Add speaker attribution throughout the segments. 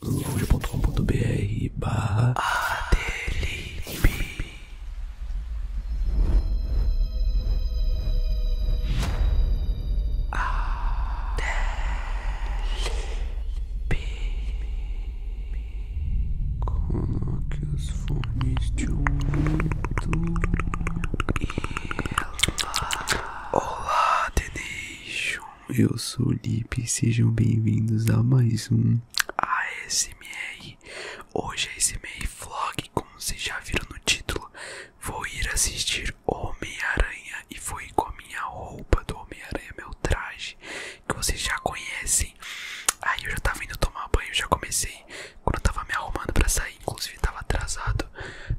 Speaker 1: lounge.com.br barra Adelibe. Adelibe. Coloque os fones de ouvido e Olá, Denation eu sou o Lipe, sejam bem-vindos a mais um ASMR. Hoje é ASMR Vlog, como vocês já viram no título, vou ir assistir Homem-Aranha e fui com a minha roupa do Homem-Aranha, meu traje, que vocês já conhecem. Aí eu já tava indo tomar banho, já comecei quando eu tava me arrumando pra sair, inclusive tava atrasado,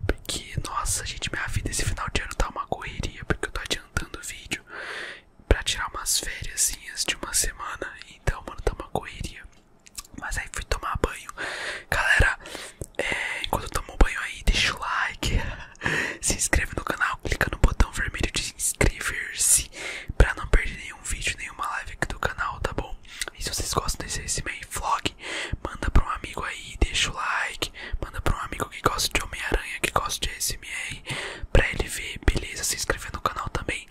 Speaker 1: porque, nossa, gente, minha vida esse final de ano tá uma correria, porque eu tô atrasado adiantando o vídeo para tirar umas férias de uma semana. Então, mano, tá uma correria. Mas aí fui tomar banho. Galera, é, enquanto eu tomo banho aí, deixa o like, se inscreve no canal, clica no botão vermelho de inscrever-se para não perder nenhum vídeo, nenhuma live aqui do canal, tá bom? E se vocês gostam desse meio vlog, manda pra um amigo aí, deixa o like, manda pra um amigo que gosta de Homem-Aranha, que gosta de SMA, pra ele ver, beleza, se inscrever no canal também.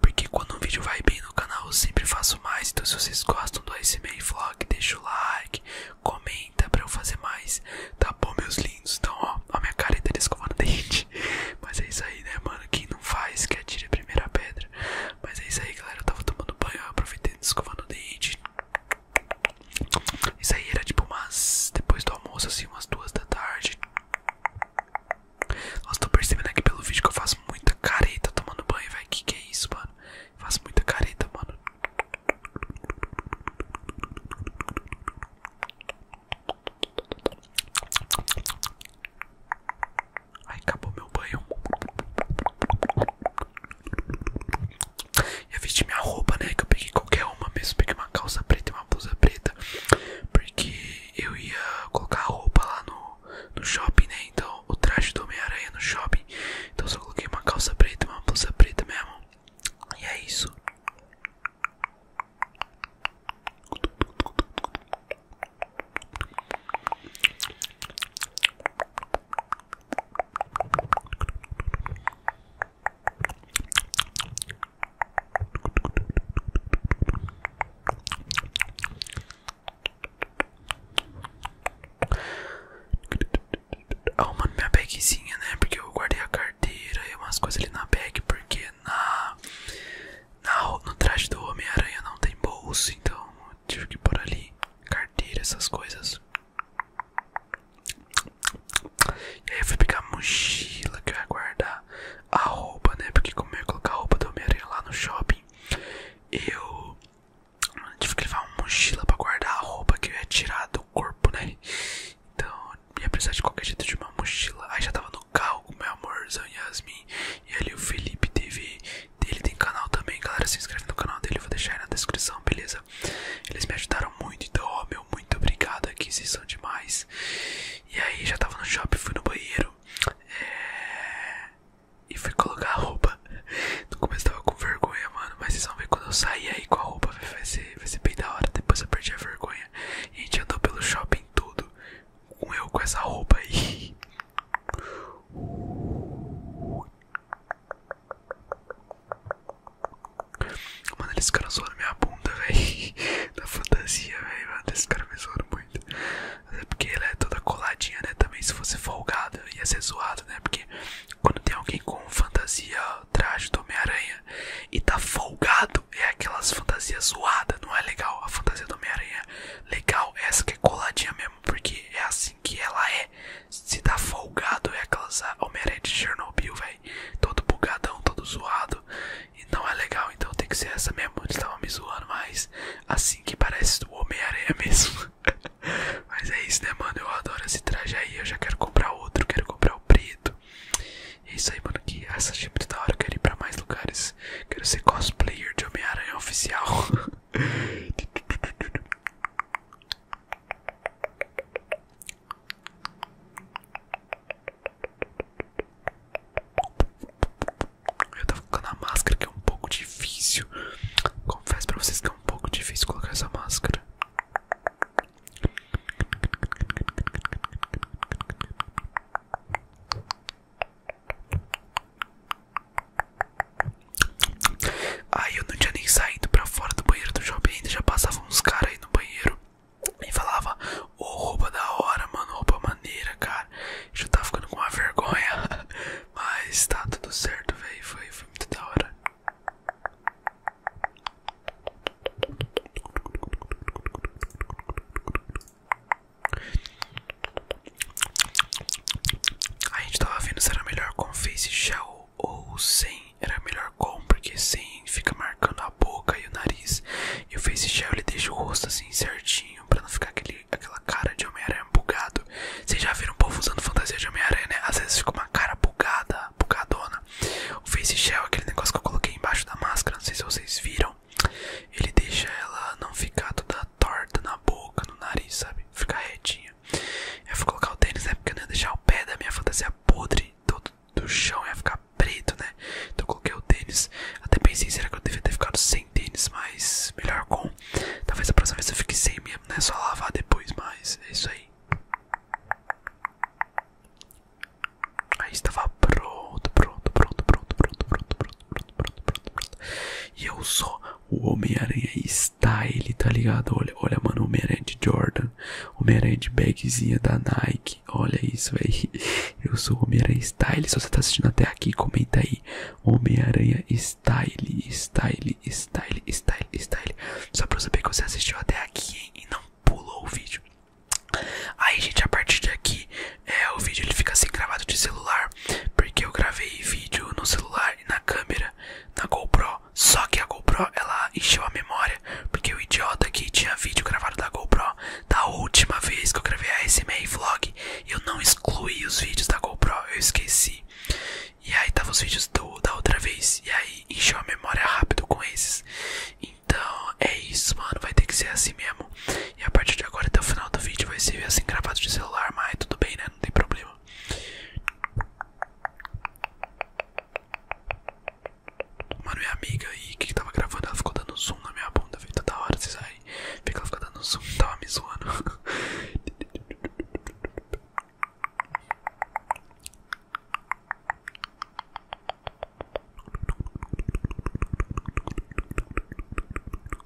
Speaker 1: Porque quando um vídeo vai bem no canal eu sempre faço mais. Então se vocês gostam do SMA Vlog, deixa o like, comenta pra eu fazer mais. Tá bom, meus lindos? Então, ó, a minha cara tá é escovando dente. Mas é isso aí, né, mano? Quem não faz, que atire a primeira pedra. Mas é isso aí, galera. Eu tava tomando banho, aproveitando escovando o dente. Isso aí era tipo umas. Depois do almoço, assim, umas duas da tarde. Nossa, tô percebendo aqui pelo vídeo que eu faço muita careta tomando banho, velho. Que que é isso, mano? faço muita careta, mano. Aí acabou meu banho. Ia vestir minha roupa, né? Que eu peguei qualquer uma mesmo. Peguei uma calça preta e uma blusa preta. Porque eu ia colocar a roupa lá no, no shopping, né? Então, o traje do Homem-Aranha no shopping. Então, só coloquei uma calça preta e uma blusa preta mesmo. E é isso. Arrumando minha bagzinha, né? Porque eu guardei a carteira e umas coisas ali na bag. Porque na, na no traje do Homem-Aranha não tem bolso, então tive que pôr ali carteira, essas coisas. E aí eu fui pegar a mochila que eu ia guardar a roupa, né? Porque como eu ia colocar a roupa do Homem-Aranha lá no shopping, eu tive que levar uma mochila pra guardar a roupa que eu ia tirar do corpo, né? Então ia precisar de qualquer jeito de uma mochila. Aí já tava no carro com meu amorzão Yasmin. E ali o Felipe TV dele tem canal também, galera. Se inscreve no canal dele, eu vou deixar aí na descrição, beleza? Eles me ajudaram muito, então, ó, meu, muito obrigado aqui, vocês são demais. E aí, já tava no shopping, fui no banheiro. É... E fui colocar a roupa. No começo tava com vergonha, mano. Mas vocês vão ver quando eu sair aí com a roupa. Vai ser, vai ser bem da hora. Depois eu perdi a vergonha. a gente andou pelo shopping tudo. Com eu com essa roupa aí. Mano, eles caras zoaram minha bunda, velho. Da fantasia, velho. Mano, esses caras me zoaram muito. Até porque ela é toda coladinha, né? Também se fosse folgado ia ser zoado, né? Porque quando tem alguém com fantasia, traje do Homem-Aranha e tá folgado, é aquelas fantasias zoadas, não é legal. A fantasia do Homem-Aranha é legal, essa que é coladinha mesmo, porque é assim que ela é se tá folgado, é aquelas ah, Homem-Aranha de Chernobyl, velho. Todo bugadão, todo zoado. E não é legal, então tem que ser essa mesmo. Eles estavam me zoando, mas assim que parece o Homem-Aranha mesmo. mas é isso, né, mano? Eu adoro esse traje aí. Eu já quero comprar outro, quero comprar o preto. É isso aí, mano. Que essa chip é da hora eu quero ir pra mais lugares. Quero ser cosplayer de Homem-Aranha oficial. Eu tava colocando a máscara que é um pouco difícil. Confesso pra vocês que é um pouco difícil colocar essa máscara. Aí eu não tinha nem saído pra fora do banheiro do shopping ainda, já passavam uns caras aí no banheiro e falava, ô roupa da hora, mano, roupa maneira, cara. Já tava ficando com uma vergonha, mas tá tudo certo, velho. Foi, foi muito da hora. A gente tava vendo se era melhor com face gel ou sem. Era melhor com, porque sem fica marcando a boca e o nariz. E o face gel ele deixa o rosto assim certinho, pra não ficar aquele, aquela cara de Homem-Aranha bugado. Vocês já viram o povo usando fantasia de Homem-Aranha, né? Às vezes fica uma cara bugada, bugadona. O face gel, aquele negócio que eu coloquei embaixo da máscara, não sei se vocês viram. Ele deixa ela não ficar toda torta na boca, no nariz, sabe? Ficar retinha. Eu fui colocar o tênis, né? Porque eu não ia deixar o pé da minha fantasia podre do, do chão, ia ficar preto, né? Então eu coloquei o tênis. Até pensei, será que eu devia ter ficado sem tênis? Mas melhor com. Talvez a próxima vez eu fique sem mesmo, né? Só lavar depois, mas é isso aí. Aí estava pronto, pronto, pronto, pronto, pronto, pronto, pronto, e eu sou o Homem-Aranha Style, tá ligado? Olha, olha mano, Homem-Aranha de Jordan, Homem-Aranha de bagzinha da Nike. Olha isso, velho. Eu sou o Homem-Aranha Style. Se você tá assistindo até aqui, comenta aí. Homem-Aranha Style, Style, Style, Style, Style. Só pra eu saber que você assistiu até aqui, hein? E não pulou o vídeo. Aí, gente, a partir daqui, é, o vídeo ele fica assim gravado de celular porque eu gravei vídeo no celular e na câmera, na GoPro. Só que a GoPro ela encheu a memória, porque o idiota que tinha vídeo gravado da GoPro da última vez que eu gravei a SMR Vlog, eu não excluí os vídeos da GoPro, eu esqueci. E aí tava os vídeos do, da outra vez, e aí encheu a memória rápido com esses. Então é isso, mano, vai ter que ser assim mesmo. E a partir de agora até o final do vídeo vai ser assim gravado de celular, mas tudo bem, né? Não tem problema. Mano, minha amiga aí que tava gravando, ela ficou dando zoom na minha bunda, velho. da hora vocês aí. Vê que ela ficou dando zoom, tava me zoando.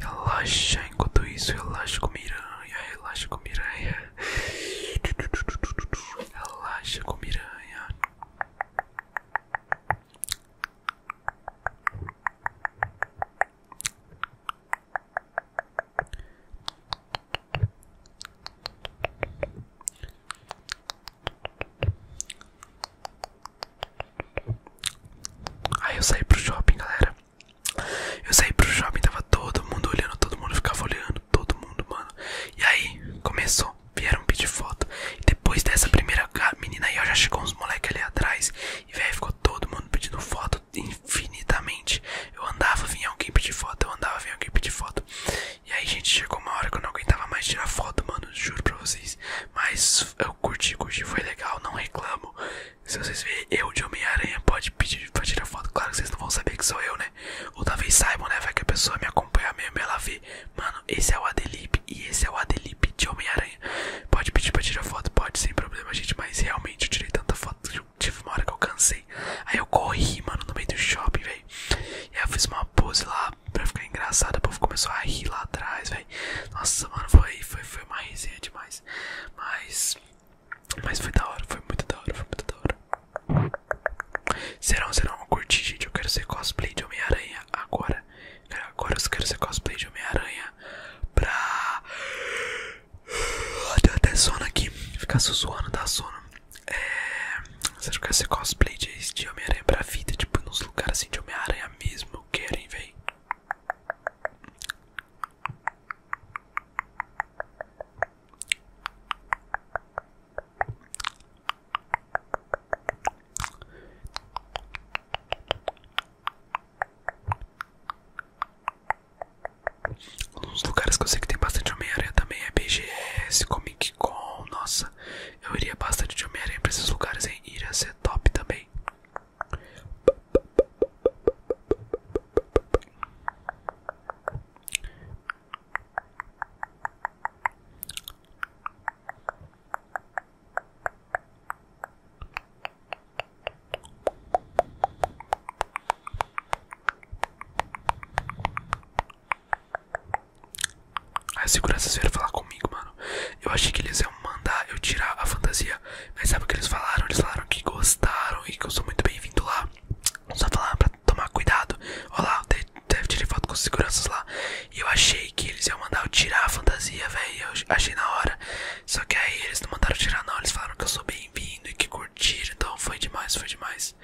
Speaker 1: Relaxa enquanto isso, relaxa com Miranha, relaxa com Miranha, relaxa com Miranha. Aí eu saí pro shopping, galera. Eu saí pro shopping, tava todo mundo olhando, todo mundo ficava olhando, todo mundo, mano. E aí, começou, vieram pedir foto. depois dessa primeira menina aí, ó, já chegou uns moleques ali atrás. E aí ficou todo mundo pedindo foto infinitamente. Eu andava, vinha alguém pedir foto, eu andava, vinha alguém pedir foto. E aí, gente, chegou uma hora que eu não aguentava mais tirar foto, mano. Juro pra vocês. Mas eu curti, curti, foi legal, não reclamo. Se vocês verem eu de Homem-Aranha, pode pedir pra tirar foto. Claro que vocês não vão saber que sou eu, né? Ou talvez saibam, né? Vai que a pessoa me acompanha mesmo e ela vê. Mano, esse é o Adelipe e esse é o Adelipe de Homem-Aranha. Pode pedir pra tirar foto, pode, sem problema, gente. Mas realmente eu tirei tanta foto, eu tipo, tive uma hora que eu cansei. Aí eu corri, mano, no meio do shopping, velho. E aí eu fiz uma pose lá, lá pra ficar engraçado. O povo começou a rir lá atrás, velho. Nossa, mano, foi, foi, foi uma resenha demais. Mas. Mas foi da hora, foi muito da hora, foi muito da hora. Serão, serão, eu curti, gente. Eu quero ser cosplay de Homem-Aranha agora. Agora eu quero ser cosplay de Homem-Aranha pra. Deu até sono aqui. Ficar sussurrando da sono. É. Você quer ser cosplay de Homem-Aranha pra vida, tipo, nos lugares assim de Homem-Aranha mesmo querem, véi. Um lugares que eu sei que tem bastante Homem-Aranha também é BGS, Comic Con. Nossa, eu iria bastante de Homem-Aranha pra esses lugares hein iria ser top também. Aí as seguranças vieram falar comigo, mano. Eu achei que eles iam mandar eu tirar a fantasia. Mas sabe o que eles falaram? Eles falaram que gostaram e que eu sou muito bem-vindo lá. Só falaram pra tomar cuidado. Olha lá, deve ter foto com os seguranças lá. E eu achei que eles iam mandar eu tirar a fantasia, velho. Eu achei na hora. Só que aí eles não mandaram tirar, não. Eles falaram que eu sou bem-vindo e que curtiram. Então foi demais, foi demais.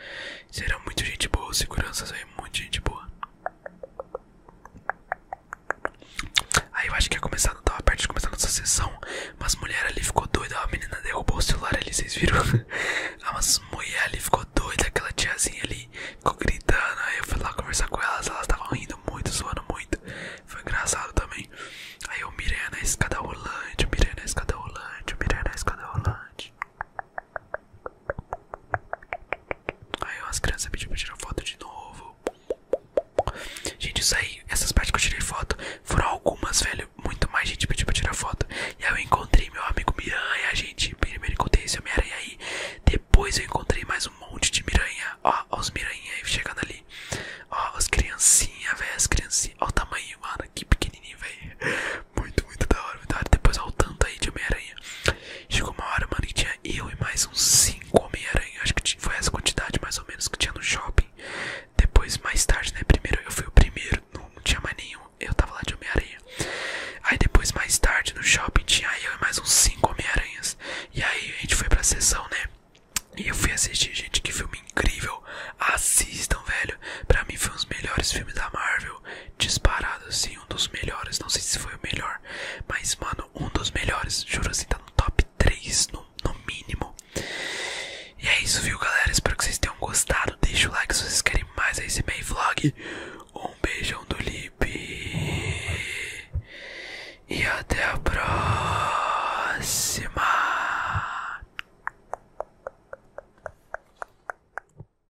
Speaker 1: Será muito gente boa, seguranças aí, muito gente boa. Aí eu acho que ia começar, não tava perto de começar nossa sessão. Mas mulher ali ficou doida, a menina derrubou o celular ali, vocês viram? ah, mas mulher ali ficou doida, aquela tiazinha ali ficou gritando. Aí eu fui lá conversar com elas, elas estavam rindo muito, zoando muito. Foi engraçado também. Aí eu mirei na escada rolante, eu mirei na escada rolante, eu mirei na escada rolante. Aí as crianças pediram pra tirar foto de novo. Gente, isso aí, essas partes que eu tirei foto foram algumas, velho. Muito mais gente pediu pra tirar foto. E aí eu encontrei meu amigo Miranha, gente. Primeiro encontrei esse Homem-Aranha aí. Depois eu encontrei mais um monte de Miranha. Ó, ó os Miranha aí chegando ali. Ó, as criancinhas, velho. As criancinhas. Ó o tamanho, mano. Que pequenininho, velho. Muito, muito da hora, muito da hora. Depois ó o tanto aí de Homem-Aranha. Chegou uma hora, mano, que tinha eu e mais uns 5 Homem-Aranha. Acho que foi essa quantidade mais ou menos que tinha no shopping. Depois, mais tarde, né? Primeiro eu fui o primeiro, não, tinha mais nenhum. Eu tava lá de Homem-Aranha. Aí depois, mais tarde, no shopping, tinha eu e mais uns 5 Homem-Aranhas. E aí a gente foi pra sessão, né? E eu fui assistir, gente, que filme incrível. Assistam, velho. Pra mim foi um dos melhores filmes da Marvel. Brasil. Disparado, assim, um dos melhores. Não sei se foi o melhor, mas, mano, um dos melhores. Juro assim, tá no top 3 no, mínimo. E é isso, viu, galera? Espero que vocês tenham gostado. Deixa o like se vocês querem mais esse meio vlog. Um beijão do Lip E até a próxima.